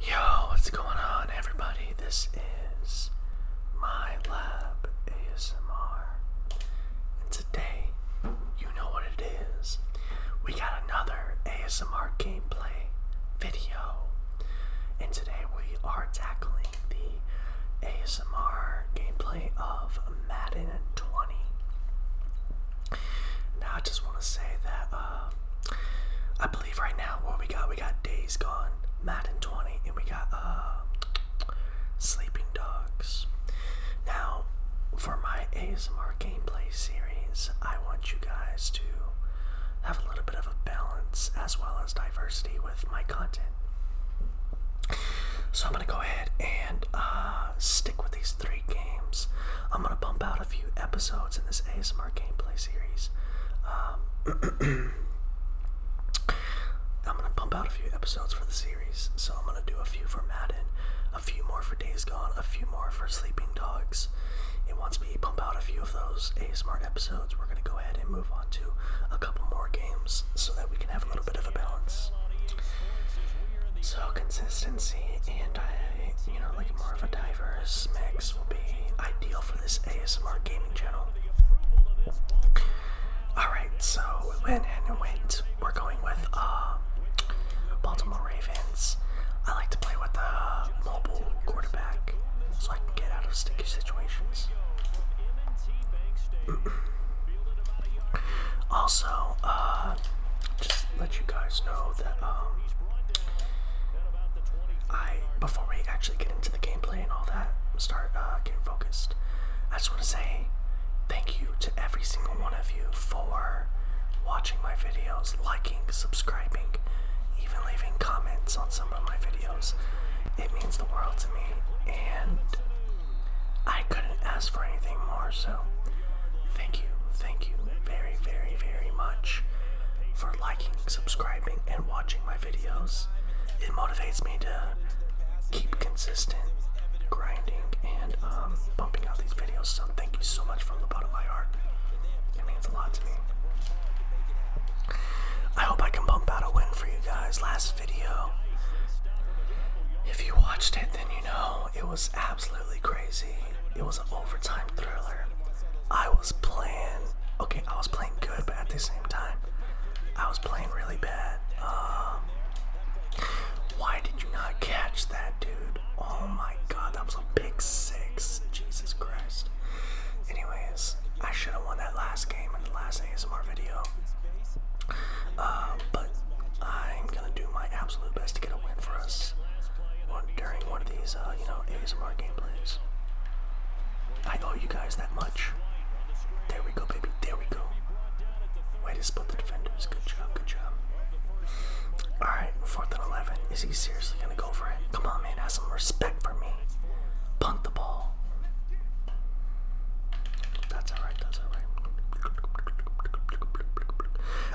Yo, what's going on, everybody? This is My Lab ASMR. And today, you know what it is. We got another ASMR gameplay video. And today, we are tackling the ASMR gameplay of Madden 20. Now I just want to say that uh, I believe right now what we got we got Days Gone, Madden 20, and we got uh, Sleeping Dogs. Now for my ASMR gameplay series, I want you guys to have a little bit of a balance as well as diversity with my content. So I'm gonna go ahead and uh, stick with these three games. I'm gonna bump out a few episodes in this ASMR gameplay series. Um, I'm gonna pump out a few episodes for the series, so I'm gonna do a few for Madden, a few more for Days Gone, a few more for Sleeping Dogs. And once we pump out a few of those ASMR episodes, we're gonna go ahead and move on to a couple more games so that we can have a little bit of a balance. So consistency, and I, you know, like more of a diet divers, will be ideal for this ASMR gaming channel. Alright, so we went and went. We're going with uh, Baltimore Ravens. I like to play with the mobile quarterback so I can get out of sticky situations. also, uh, let you guys know that um, I before we actually get into the gameplay and all that, start uh, getting focused. I just want to say thank you to every single one of you for watching my videos, liking, subscribing, even leaving comments on some of my videos. It means the world to me, and I couldn't ask for anything more. So, thank you, thank you you very, very, very much for liking, subscribing, and watching my videos. It motivates me to keep consistent, grinding, and bumping um, out these videos. So thank you so much from the bottom of my heart. It means a lot to me. I hope I can bump out a win for you guys. Last video, if you watched it, then you know it was absolutely crazy. It was an overtime thriller. I was playing okay, I was playing good, but at the same time, I was playing really bad. Um, why did you not catch that, dude? Oh my god, that was a big six. Jesus Christ. Anyways, I should have won that last game in the last ASMR video. Uh, but I'm I'm gonna do my absolute best to get a win for us during one of these, uh, you know, ASMR gameplays. I owe you guys that much. There we go, baby. There we go. Way to split the defenders. Good job. Good job. Alright, 4th and 11. Is he seriously gonna go for it? Come on, man. Have some respect for me. Punt the ball. That's alright. That's alright.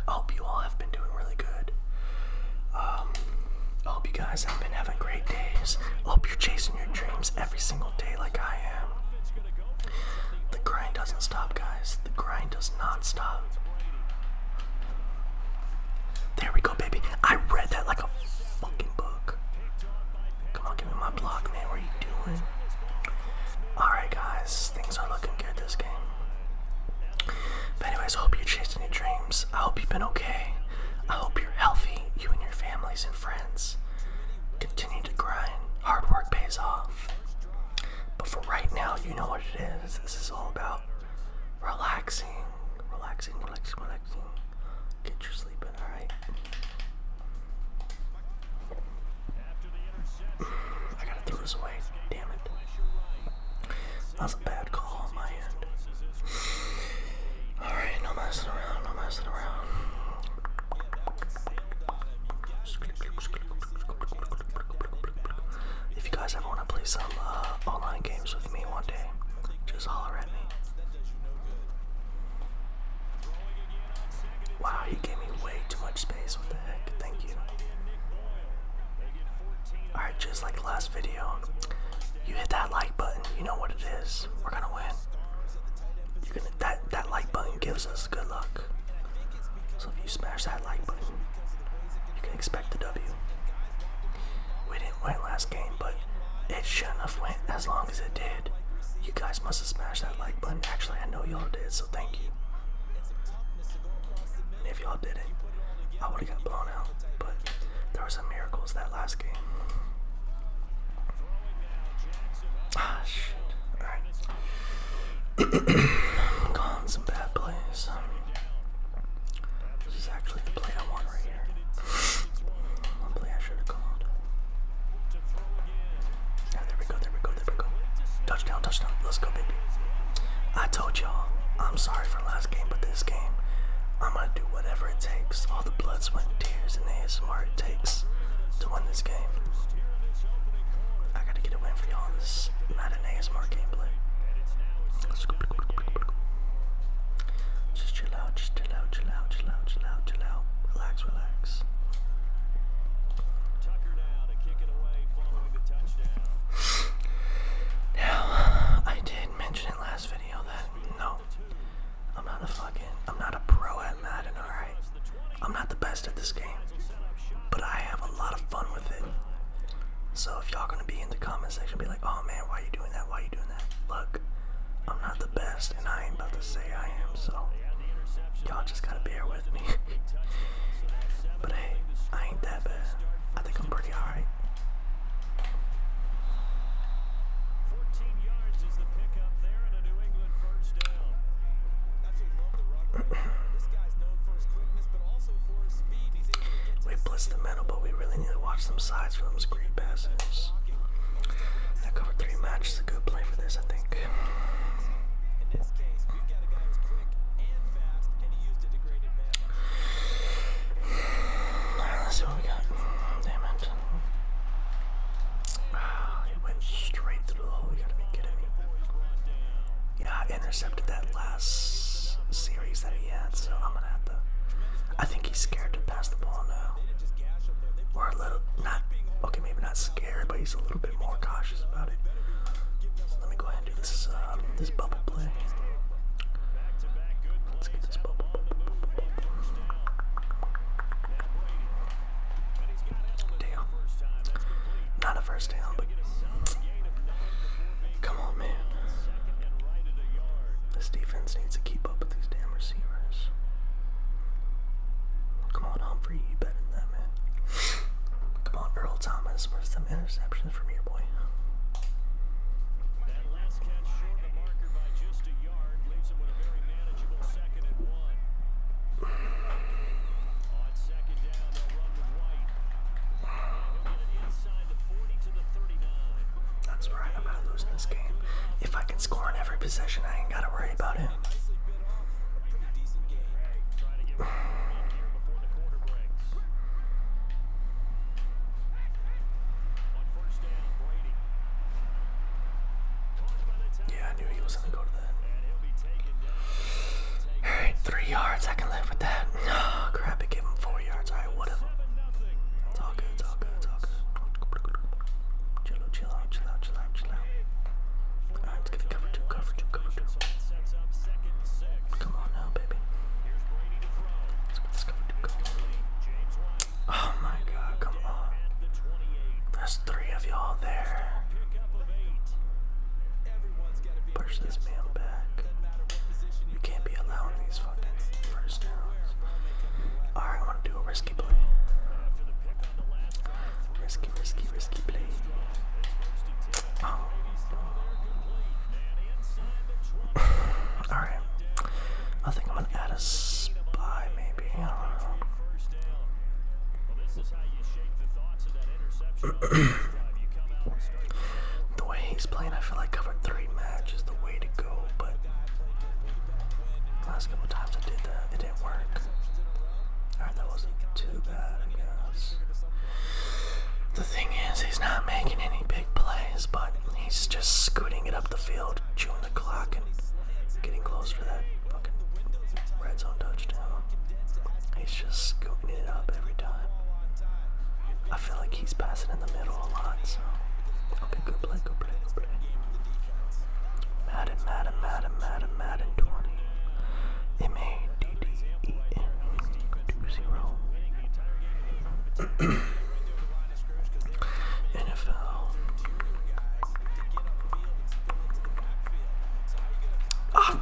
I hope you all have been doing really good. Um, I hope you guys have been having great days. I hope you're chasing your dreams every single day like I am. The grind doesn't stop, guys. The grind does not stop. There we go, baby. I read that like a fucking book. Come on, give me my block, man. What are you doing? Alright, guys. Things are looking good this game. But anyways, I hope you chased any dreams. I hope you've been okay. I hope you're healthy, you and your families and friends. Continue to grind. Hard work pays off. But for right now, you know what it is. This is all about relaxing, relaxing, relaxing, relaxing. Get your sleep in, alright? I gotta throw this away damn it. That's a bad call on my end. Alright, no messing around, no messing around. If you guys ever want to play some uh, online games with me one day, just holler at me. Wow, he gave me way too much space. What the heck? Thank you. Alright, just like the last video, you hit that like button, you know what it is. We're gonna win. You're going that that like button gives us good luck. So if you smash that like button, you can expect the W. We didn't win last game, but it shouldn't have went as long as it did. You guys must have smashed that like button. Actually, I know y'all did, so thank you if y'all did it, I would have got blown out. But there were some miracles that last game. Ah, Alright. Gone some bad plays. This is actually play I want right here. One play I should have called. Yeah, there we go, there we Touchdown, touchdown. Let's go, baby. I told y'all, I'm sorry for last game, but this game, I'm gonna do whatever it takes. All the blood, sweat, tears, and ASMR it takes to win this game. I gotta get a win for y'all. This is ASMR gameplay. Let's go. Just chill out, just chill out, chill out, chill out, chill out, chill out. Relax, relax. Now, I did mention in last video that no, I'm not a fucking, I'm not a pro at Madden, alright? I'm not the best at this game, but I have a lot of fun with it. So if y'all gonna be in the comment section, be like, oh man, why are you doing that? Why are you doing that? Look, I'm not the best, and I ain't about to say I am, so y'all just gotta be bear but hey, I ain't that bad. I think I'm pretty alright. we blitzed the middle, but we really need to watch some sides for those great passes. I covered three matches. A good play for this, I think. Let's see what we got. Damn it. Ah, it went straight through the hole. You gotta be kidding me. Yeah, I intercepted that last series that he had, so I'm gonna have to. I think he's scared to pass the ball now. Or a little, not, okay, maybe not scared, but he's a little bit more cautious about it. let me go ahead um, this bubble play. Damn. Not a first down, but come on, man. This defense needs to keep up with these damn receivers. Come on, Humphrey, you better than that, man. Come on, Earl Thomas, where's some interceptions from your boy? That last catch short the marker by just a yard leaves him with a very manageable second and one. On second down, they'll run with White. And inside the 40 to the 39. That's right, I'm not losing this game. If I can score in every possession, I ain't gotta worry about him. Yeah, I knew he was gonna go to that. Alright, three yards. I can live with that. Oh, crap, it gave him four yards. I would have. It's all good, it's all good, it's all good. Chill out, chill out, chill out, chill out, chill out. Come on now, baby. Oh my god, come on. There's three of y'all there. Push this man back. You can't be allowing these fucking first downs. Alright, I want to do a risky play. Risky, risky, risky play. Alright. I think I'm gonna add a spy, maybe. I the way he's playing, I feel like covered three match is the way to go, but last couple times I did that, it didn't work. Alright, that wasn't too the thing is, he's not making any big plays, but he's just scooting it up the field, chewing the clock, and getting close to that fucking red zone touchdown. He's just scooting it up every time. I feel like he's passing in the middle a lot, so. Okay, good play, good play, good play. Madden, Madden, Madden, Madden, Madden 20. M A D D E N 20. NFL. Oh,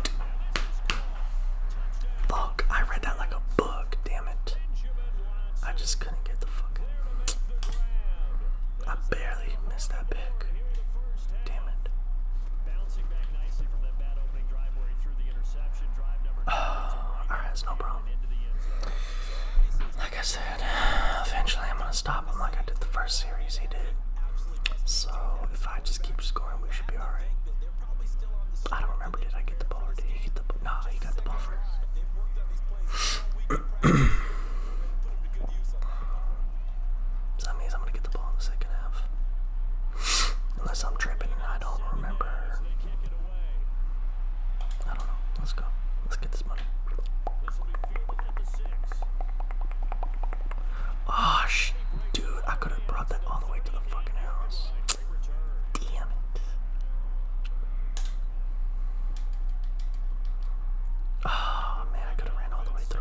fuck, I read that like a book, damn it. I just couldn't get the fucking. I barely missed that pick. Damn it. no problem. Like I said, eventually I'm going to stop him like I did the first series he did. So if I just keep scoring, we should be alright. I don't remember, did I get the ball or did he get the ball? Nah, he got the ball first. that means I'm going to get the ball in the second half. Unless I'm tripping and I don't remember. I don't know. Let's go. Let's get this money. Oh, sh dude, I could have brought that all the way to the fucking house. Damn it. Oh, man, I could have ran all the way to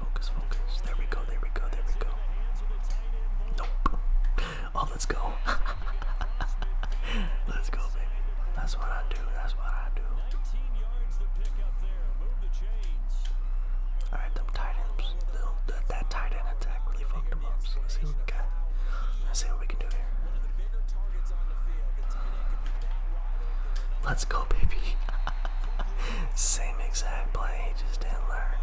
focus, focus. There we go, there we go, there we go. Nope. Oh, let's go. let's go, baby. That's what I do, that's what I do. Alright, them tight ends. That, tight end attack really fucked them up. let's see what we got. Let's see what we can do here. Let's go, baby. Same exact play, he just didn't learn.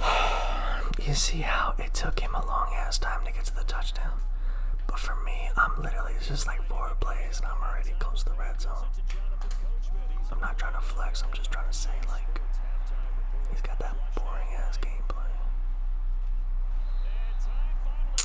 you see how it took him a long ass time to get to the touchdown? But for me, I'm literally, it's just like four plays and I'm already close to the red zone. I'm not trying to flex, I'm just trying to say, like, he's got that boring ass game gameplay.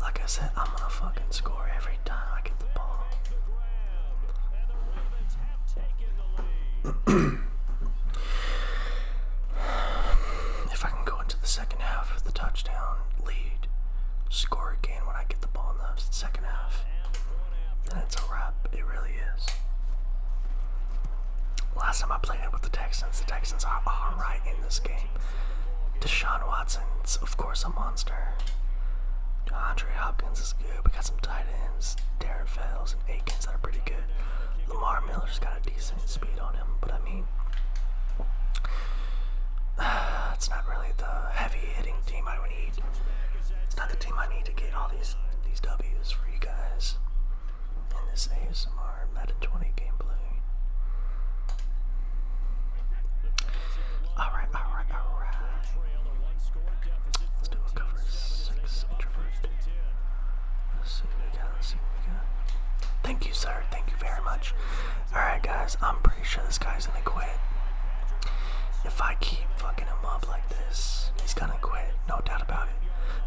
Like I said, I'm gonna fucking score every time I get the ball. if I can go into the second half with the touchdown lead, score again when I get the ball in the second half, then it's a wrap. It really is. Last time I played with the Texans, the Texans are alright in this game. Deshaun Watson's, of course, a monster. DeAndre Hopkins is good. We got some tight ends, Darren Fells and Aikens that are pretty good. Lamar Miller's got a decent speed on him, but I mean, it's not really the heavy-hitting team I would need. It's not the team I need to get all these these W's for you guys in this ASMR Meta 20 gameplay. All right, all right, all right. Let's do a cover six introvert. Let's see what we got. Let's see what we got. Thank you, sir. Thank you very much. All right, guys. I'm pretty sure this guy's gonna quit. If I keep fucking him up like this, he's gonna quit. No doubt about it.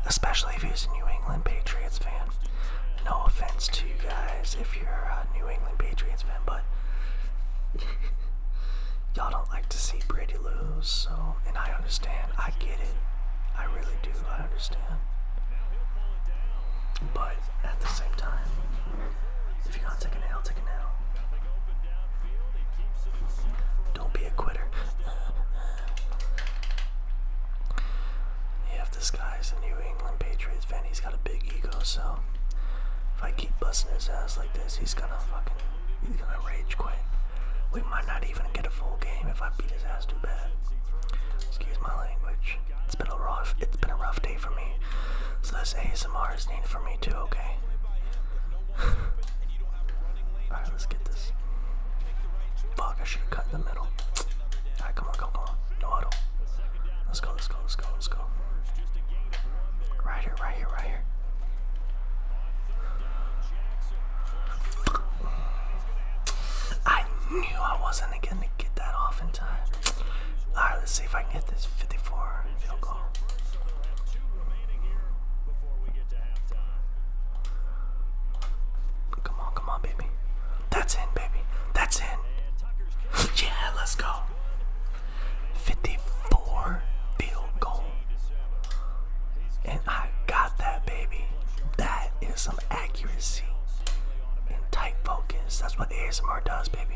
Especially if he's a New England Patriots fan. No offense to you guys if you're a New England Patriots fan, but Y'all don't like to see Brady lose, so and I understand. I get it. I really do. I understand. But at the same time, if you got to take a nail, take a nail. Don't be a quitter. yeah, if this guy's a New England Patriot fanny has got a big ego, so if I keep busting his ass like this, he's gonna fucking, he's gonna rage quit. We might not even get a full game if I beat his ass too bad. Excuse my language. It's been a rough, it's been a rough day for me. So this ASMR is needed for me too, okay? Alright, let's get this. Fuck, I should cut in the middle. Alright, come on, come on. No auto. Let's go, let's go, let's go, let's go. Right here, right here, right here. I knew I wasn't gonna get that off in time. Alright, let's see if I can get this 54 field goal. Come on, come on, baby. That's in, baby. That's in. Yeah, let's go. 54 field goal. And I got that, baby. That is some accuracy and tight focus. That's what ASMR does, baby.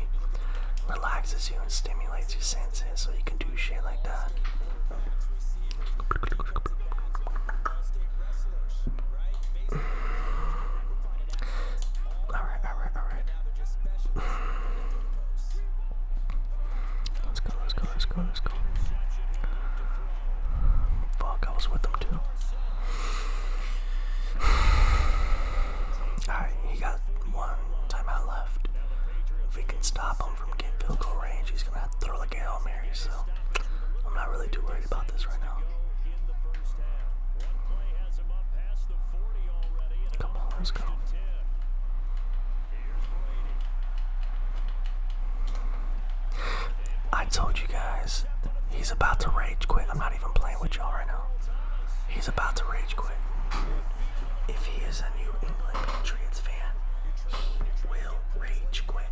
Relaxes you and stimulates your senses so you can do shit like that. Alright, alright, alright. Let's go, let's go, let's go, let's go. Fuck, I was with them too. Alright, he got one timeout left. If we can stop him from getting field goal range, he's gonna have to throw like a Hail Mary, so I'm not really too worried about this right now. Come on, let's go. I told you guys, he's about to rage quit. I'm not even playing with y'all right now. He's about to rage quit. If he is a New England Patriots fan, he will rage quit.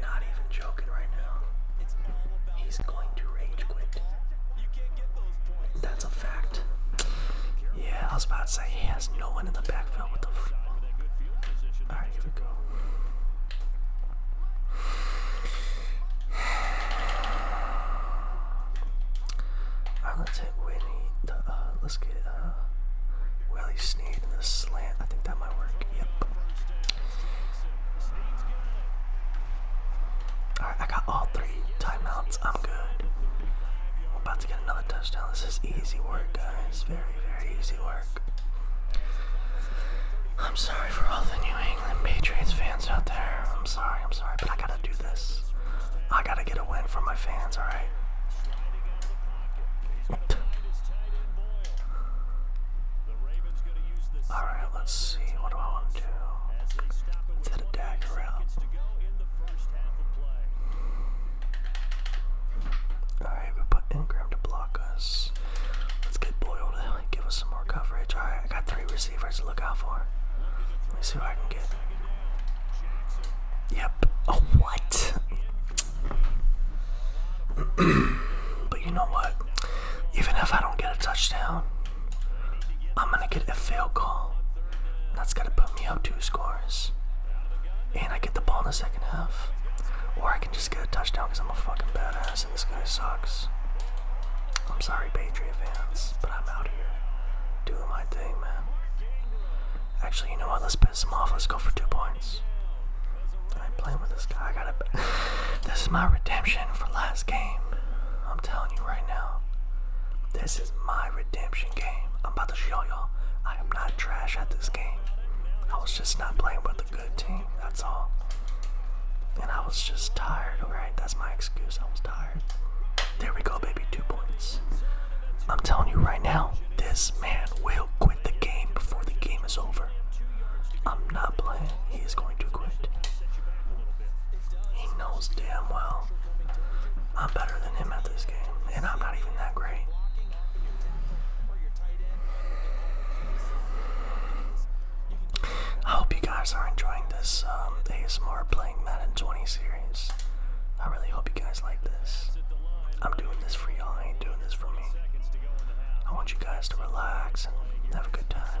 Not even joking right now. He's going to rage quit. That's a fact. Yeah, I was about to say he has no one in the backfield with the. Alright, here we go. I'm gonna uh, let's get uh, Willie Sneed in the slant. I think that might work. Yep. Alright, I got all three timeouts. I'm good. about to get another touchdown. This is easy work, guys. Very, very easy work. I'm sorry for all the New England Patriots fans out there. I'm sorry, I'm sorry, but I gotta do this. I gotta get a win for my fans, alright? Alright, let's see. What do I want to do? a dagger out. Alright, we put Ingram to block us. Let's get Boyle to give us some more coverage. Alright, I got three receivers to look out for. Let me see what I can get. Yep. Oh, what? but you know what? Even if I don't get a touchdown, I'm gonna get a fail call. That's gotta put me up two scores. And I get the ball in the second half. Or I can just get a touchdown because I'm a fucking badass and this guy sucks. I'm sorry, Patriot fans, but I'm out here doing my thing, man. Actually, you know what? Let's piss him off. Let's go for two points. I ain't playing with this guy. I gotta. this is my redemption for last game. I'm telling you right now, this is my redemption game. I'm about to show y'all I am not trash at this game. I was just not playing with a good team, that's all. And I was just tired, alright? That's my excuse. I was tired. There we go, baby. Two points. I'm telling you right now, this man will quit the game before the game is over. I'm not playing. He is going to quit. He knows damn well I'm better than him at this game, and I'm not even that great. I hope you guys are enjoying this um, ASMR playing Madden 20 series. I really hope you guys like this. I'm doing this for y'all, I ain't doing this for me. I want you guys to relax and have a good time.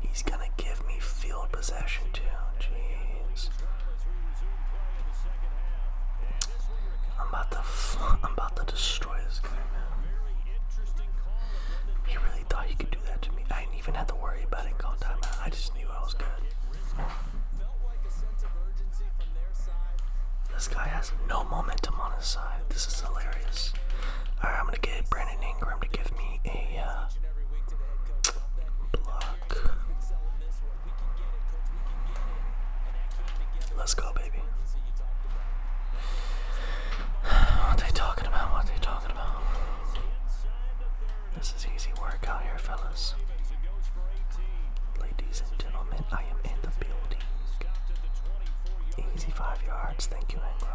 He's gonna give me field possession too. Jeez. I'm about to I'm about to destroy this guy, man. He really thought he could do that to me. I didn't even have to worry about it I just knew I was good. This guy has no momentum on his side. This is hilarious. Alright, I'm gonna get Brandon Ingram to give me a uh, Block. Let's go, baby. What they talking about? What they talking about? This is easy work out here, fellas. Ladies and gentlemen, I am in the building. Easy five yards. Thank you, Anglo.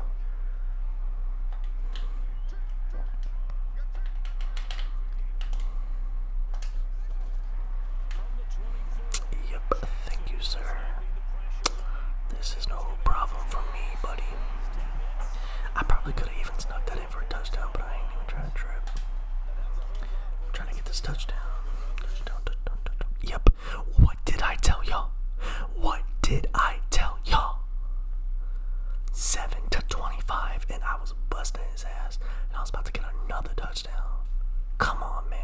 Yep, thank you, sir. This is no problem for me, buddy. I probably could have even snuck that in for a touchdown, but I ain't trying to I'm trying to get this touchdown. Yep. What did I tell y'all? What did I tell y'all? 7 to 25, and I was busting his ass, and I was about to get another touchdown. Come on, man.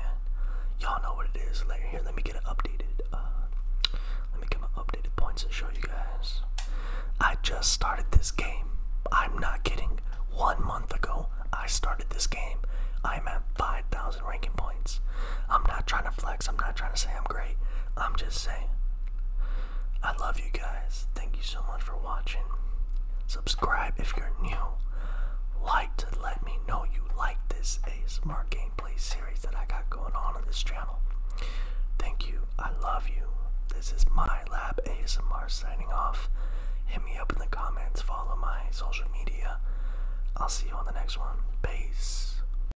Y'all know what it is. Later here, let me get an updated. Uh, let me get my updated points and show you guys. I just started this game. I'm not kidding. One month ago, I started this game. I'm at 5,000 ranking points. I'm not trying to flex. I'm not trying to say I'm great. I'm just saying. I love you guys. Thank you so much for watching. Subscribe if you're new. Like to let me know you like this ASMR gameplay series that I got going on in this channel. Thank you. I love you. This is my lab ASMR signing off. Hit me up in the comments. Follow my social media. I'll see you on the next one. Peace.